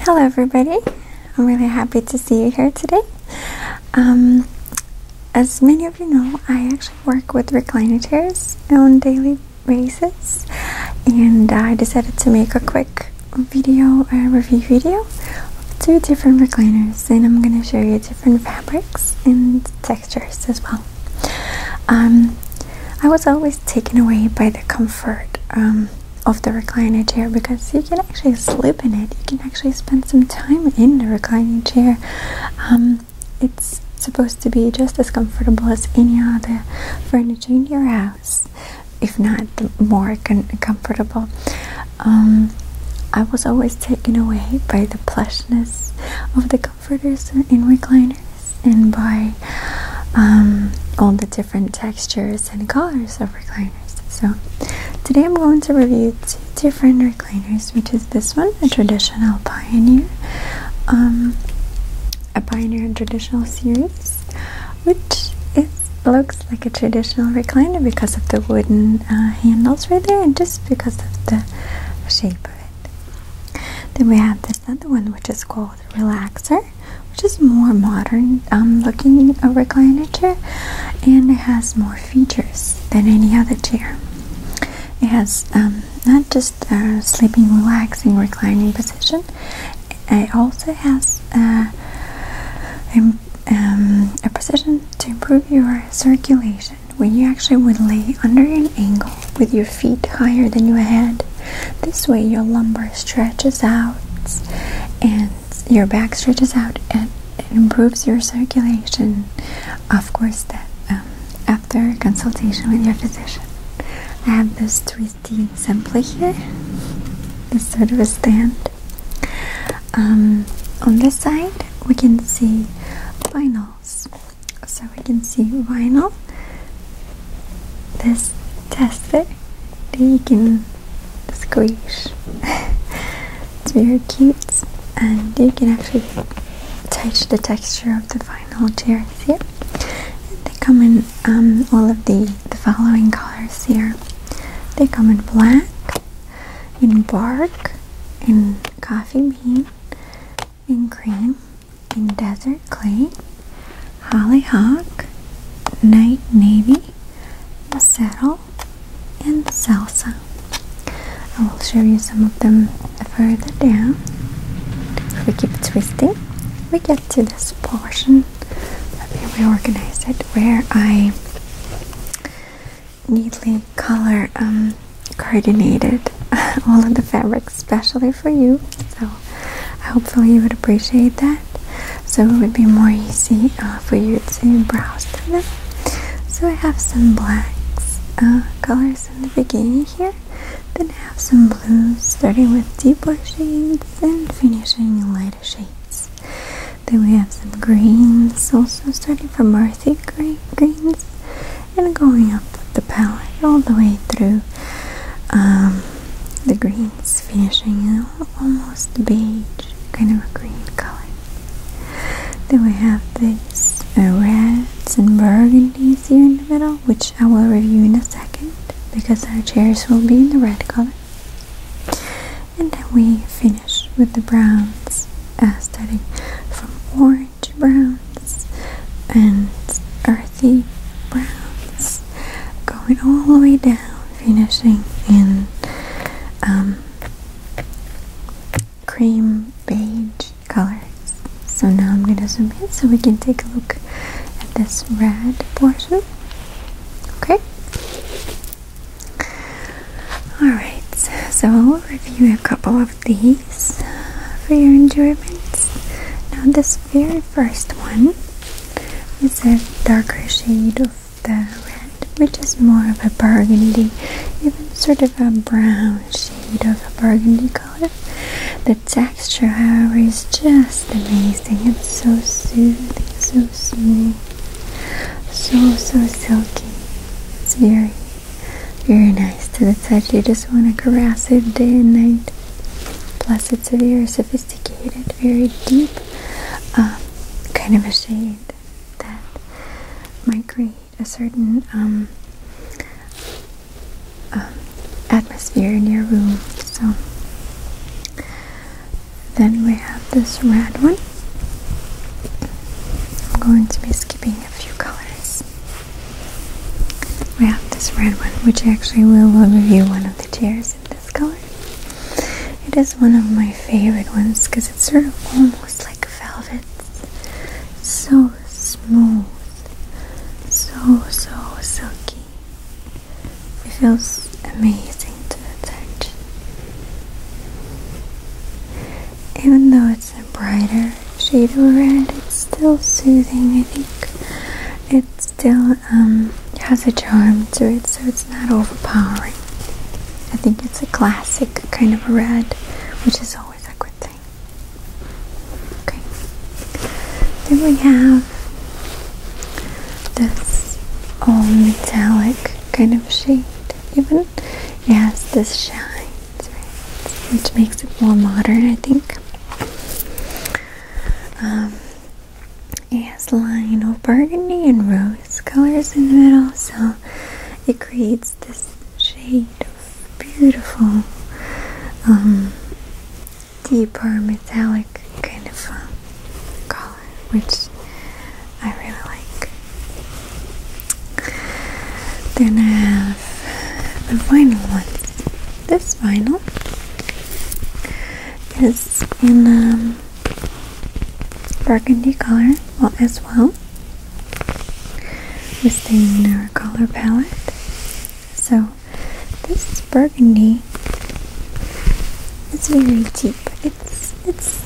Hello, everybody. I'm really happy to see you here today. Um, as many of you know, I actually work with recliners on daily basis, and I decided to make a quick video, a review video of two different recliners, and I'm gonna show you different fabrics and textures as well. Um, I was always taken away by the comfort. Um, of the recliner chair because you can actually sleep in it. You can actually spend some time in the reclining chair. Um, it's supposed to be just as comfortable as any other furniture in your house, if not more comfortable. Um, I was always taken away by the plushness of the comforters and recliners and by um, all the different different textures and colors of recliners. So today I'm going to review two different recliners, which is this one, a traditional pioneer, um, a pioneer traditional series, which looks like a traditional recliner because of the wooden uh, handles right there and just because of the shape of it. Then we have the another one which is called Relaxer, which is more modern um, looking a recliner chair, and it has more features than any other chair. It has um, not just a sleeping, relaxing, reclining position. It also has a, uh, um, a position to improve your circulation when you actually would lay under an angle with your feet higher than your head. This way, your lumbar stretches out and your back stretches out and it improves your circulation. Of course, that um, after consultation with your physician. I have this twisty sample here, this sort of a stand. Um, on this side, we can see vinyls so we can see vinyl this tester you can squeeze. it's very cute and you can actually touch the texture of the vinyl chairs here they come in um, all of the, the following colors here they come in black in bark in coffee bean in cream in desert clay, hollyhock, night navy, saddle, and salsa. I will show you some of them further down. If we keep twisting, we get to this portion. Let me reorganize it where I neatly color um, coordinated all of the fabrics, especially for you. So hopefully you would appreciate that. So it would be more easy uh, for you to browse through them. So I have some blacks uh, colors in the beginning here. Then I have some blues, starting with deeper shades and finishing in lighter shades. Then we have some greens, also starting from earthy greens and going up the palette all the way through um, the greens, finishing in almost beige kind of a green color. Then we have these uh, reds and burgundies here in the middle, which I will review in a second because our chairs will be in the red color. And then we finish with the browns, uh, starting from orange orange browns and earthy browns, going all the way down, finishing in um, cream beige colors. So now I'm going to zoom in so we can take a look at this red portion. Okay. Alright, so we'll review a couple of these uh, for your enjoyment. Now, this very first one is a darker shade of the red, which is more of a burgundy, even sort of a brown shade of a burgundy color. The texture, however, is just amazing. It's so soothing, so smooth, so so silky. It's very very nice to the touch. You just want to caress it day and night. Plus, it's a very sophisticated, very deep um, kind of a shade that might create a certain um, um, atmosphere in your room. So then we have this red one. I'm going to be skipping a few colors. We have this red one, which actually we will review one of the chairs in this color. It is one of my favorite ones because it's sort of almost like velvet. so smooth, so so silky. It feels amazing to touch. Even though it's a brighter shade of red. It's still soothing, I think. It still um, has a charm to it, so it's not overpowering. I think it's a classic kind of red, which is always a good thing. Okay. Then we have this all metallic kind of shade, even. It has this shine which makes it more modern, I think. it has of burgundy and rose colors in the middle, so it creates this shade of beautiful, um, deeper metallic kind of um, color, which I really like. Then I have the final one. This vinyl is in um, burgundy color as well. we staying in our color palette. So this burgundy it's very cheap. It's it's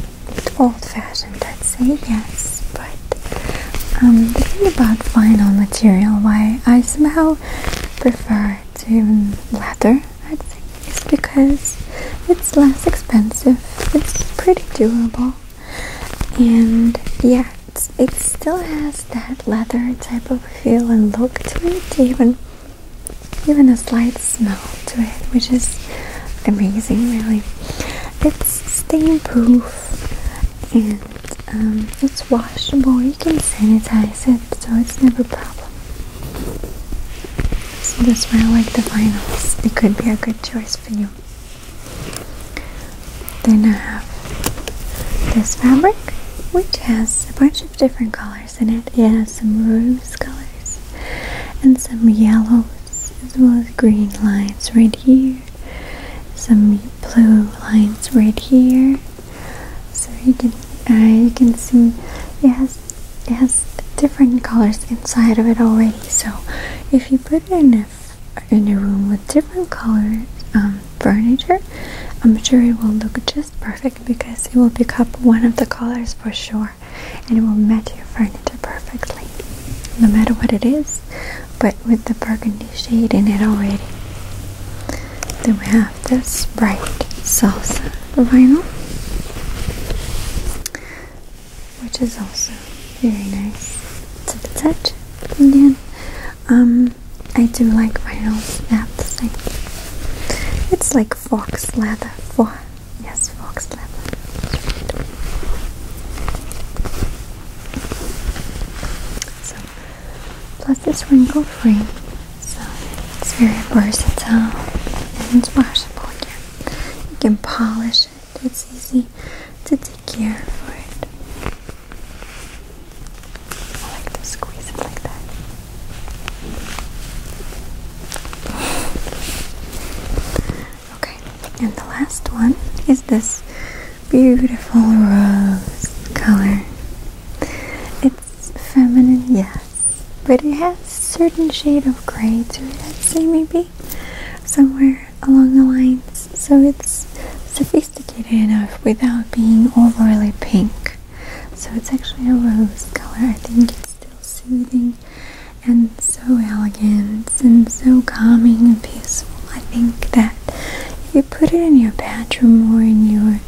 old fashioned I'd say, yes, but um, the thing about vinyl material, why I somehow prefer to leather, I think, is because it's less expensive, it's pretty durable, and yeah, it still has that leather type of feel and look to it, even even a slight smell to it, which is amazing, really. It's stain proof, and um, it's washable. You can sanitize it, so it's never a problem. So that's why I like the vinyls. It could be a good choice for you. Then I have this fabric, which has a bunch of different colors in it. It has some rose colors and some yellow as well as green lines right here some blue lines right here so uh, you can see it has it has different colors inside of it already so if you put it in a in a room with different color um, furniture I'm sure it will look just perfect because it will pick up one of the colors for sure and it will match your furniture perfectly no matter what it is, but with the burgundy shade in it already. Then we have this bright salsa vinyl, which is also very nice to the touch. Again, um, I do like vinyls that thick. It's like fox leather, fox Yes, fox leopard. So, plus it's wrinkle free, so it's very versatile and it's washable again. You can polish it, it's easy to take care of it. I like to squeeze it like that. Okay, and the last one is this beautiful rose color. It's feminine, yes, but it has certain shade of gray to it, I'd say maybe somewhere along the lines, so it's sophisticated enough without being overly pink. So it's actually a rose color. I think it's soothing and so elegant and so calming and peaceful. I think that if you put it in your bedroom or in your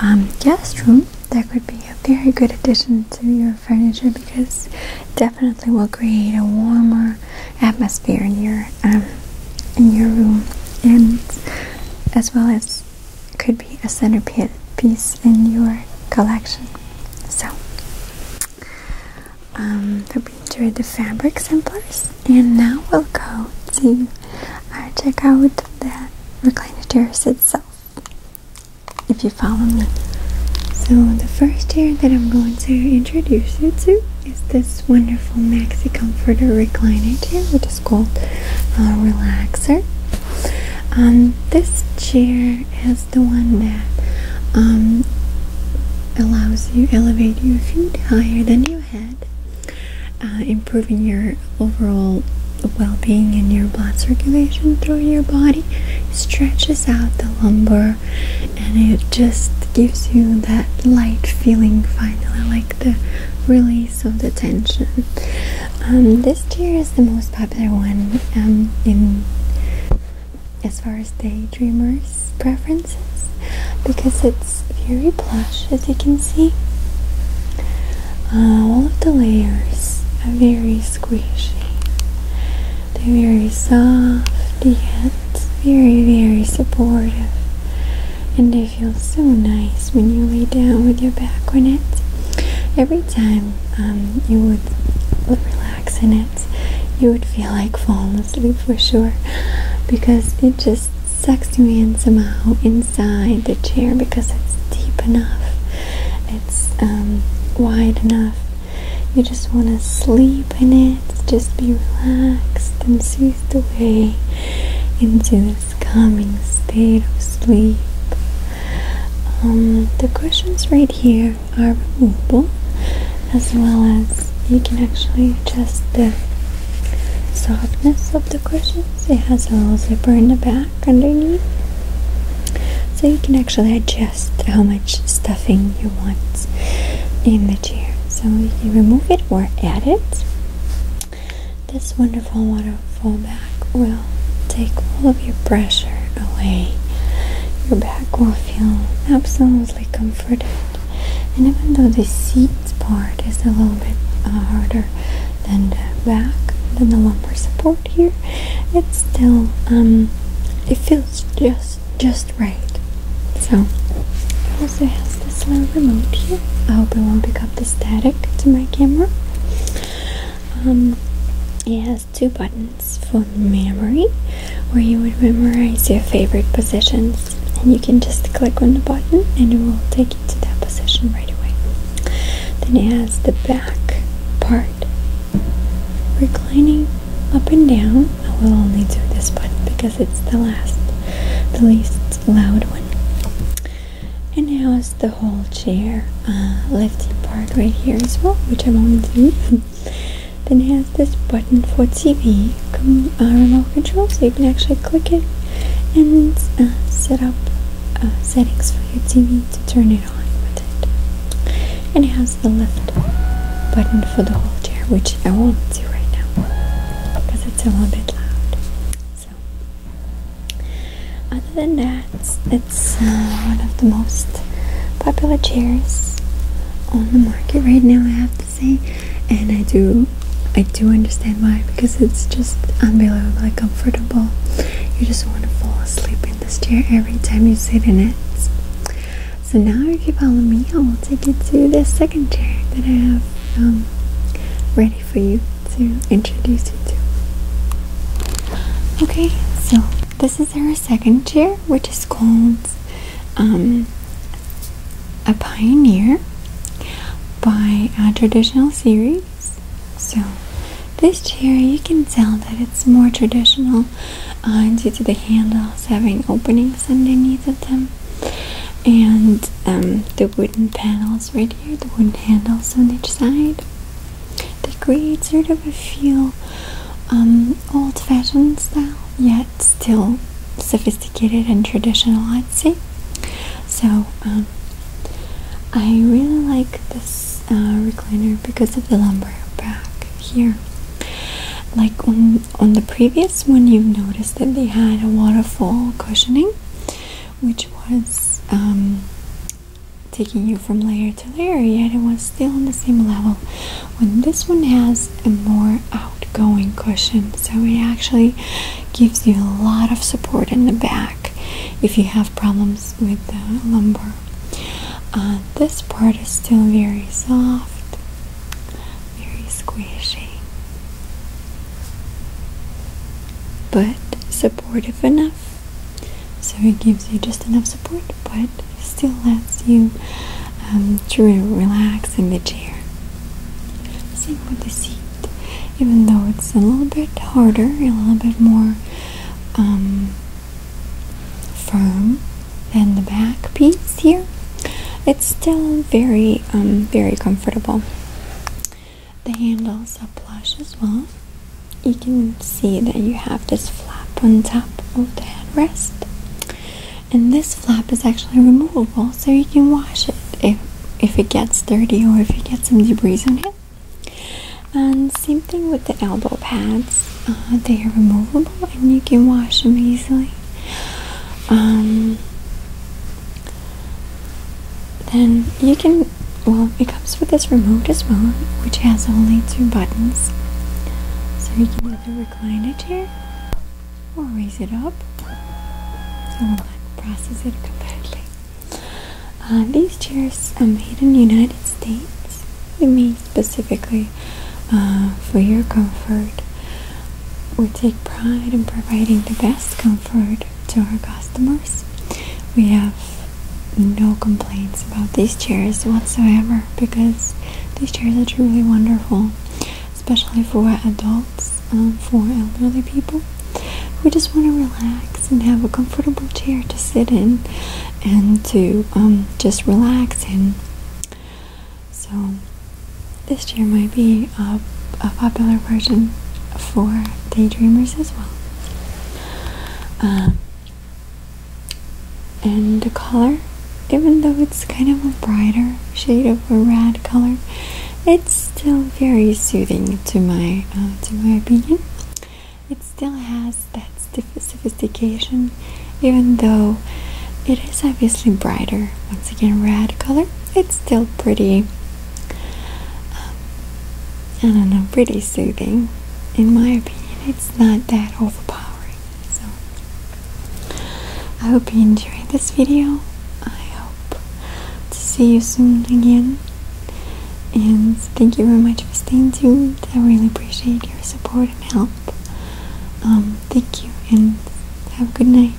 um, guest room, that could be a very good addition to your furniture because definitely will create a warmer atmosphere in your um, in your room, and as well as could be a centerpiece in your collection. So um, hope you enjoyed the fabric samplers. And now we'll go to uh, check out the recliner chairs itself. If you follow me. So the first chair that I'm going to introduce you to is this wonderful maxi comforter recliner chair, which is called a Relaxer. Um, this chair is the one that um, allows you elevate your feet higher than your head, uh, improving your overall well-being and your blood circulation through your body. stretches out the lumbar, and it just gives you that light feeling finally, like the release of the tension. Um, this chair is the most popular one um, in as far as daydreamers' preferences because it's very plush as you can see. Uh, all of the layers are very squishy. They're very soft yet very, very supportive. And they feel so nice when you lay down with your back on it. Every time um, you would relax in it, you would feel like falling asleep for sure because it just sucks you in somehow inside the chair because it's deep enough, it's um, wide enough. You just want to sleep in it, just be relaxed and soothed away into this calming state of sleep. Um, the cushions right here are removable, as well as you can actually adjust the softness of the cushions. It has a little zipper in the back underneath, so you can actually adjust how much stuffing you want in the chair. So you can remove it or add it. This wonderful water Fall back will take all of your pressure away. Your back will feel absolutely comforted. And even though the seat part is a little bit harder than the back, than the lumbar support here, it's still um, it feels just just right. So it also has this little remote here. I hope it won't pick up the static to my camera. Um, it has two buttons for memory where you would memorize your favorite positions and you can just click on the button and it will take you to that position right away. Then it has the back part reclining up and down. I will only do this button because it's the last the least loud one and now it's the whole chair uh, lifting part right here as well which I won't do then it has this button for TV uh, remote control so you can actually click it and uh, set up settings for your TV to turn it on with it and it has the left button for the whole chair which I won't do right now because it's a little bit loud so other than that, it's uh, one of the most popular chairs on the market right now, I have to say. And I do, I do understand why because it's just unbelievably comfortable. You just want to fall asleep in this chair every time you sit in it. So now, if you follow me, I will take you to the second chair that I have um, ready for you to introduce you to. Okay, so this is our second chair, which is called um, A Pioneer by a traditional series. So, this chair you can tell that it's more traditional uh, due to the handles having openings underneath of them and um, the wooden panels right here, the wooden handles on each side. They create sort of a feel um, old-fashioned style, yet still sophisticated and traditional, I'd say. So um, I really like this uh, recliner because of the lumbar back here. Like on on the previous one, you have noticed that they had a waterfall cushioning, which was um, taking you from layer to layer, yet it was still on the same level. When this one has a more outgoing cushion, so it actually gives you a lot of support in the back if you have problems with the lumbar. Uh, this part is still very soft, very squishy, but supportive enough so it gives you just enough support, but still lets you um, to relax in the chair. Same with the seat, even though it's a little bit harder, a little bit more um, firm than the back piece here. It's still very, um, very comfortable. The handles are plush as well. You can see that you have this flap on top of the headrest, and this flap is actually removable, so you can wash it if if it gets dirty or if it gets some debris on it. And same thing with the elbow pads; uh, they are removable, and you can wash them easily. Um, then you can, well, it comes with this remote as well, which has only two buttons. So you can either recline a chair or raise it up. So we'll process it completely. Uh, these chairs are made in the United States. They're made specifically uh, for your comfort. We take pride in providing the best comfort to our customers. We have no complaints about these chairs whatsoever because these chairs are truly wonderful, especially for adults, um, for elderly people We just want to relax and have a comfortable chair to sit in and to um, just relax in. So, this chair might be a popular version for daydreamers as well. Um, and the color, even though it's kind of a brighter shade of a red color, it's still very soothing to my uh, to my opinion. It still has that sophistication, even though it is obviously brighter. Once again, red color. It's still pretty um, I don't know, pretty soothing. In my opinion, it's not that overpowering. So, I hope you enjoyed this video. I hope to see you soon again. And thank you very much for staying tuned. I really appreciate your support and help. Um, thank you, and have a good night.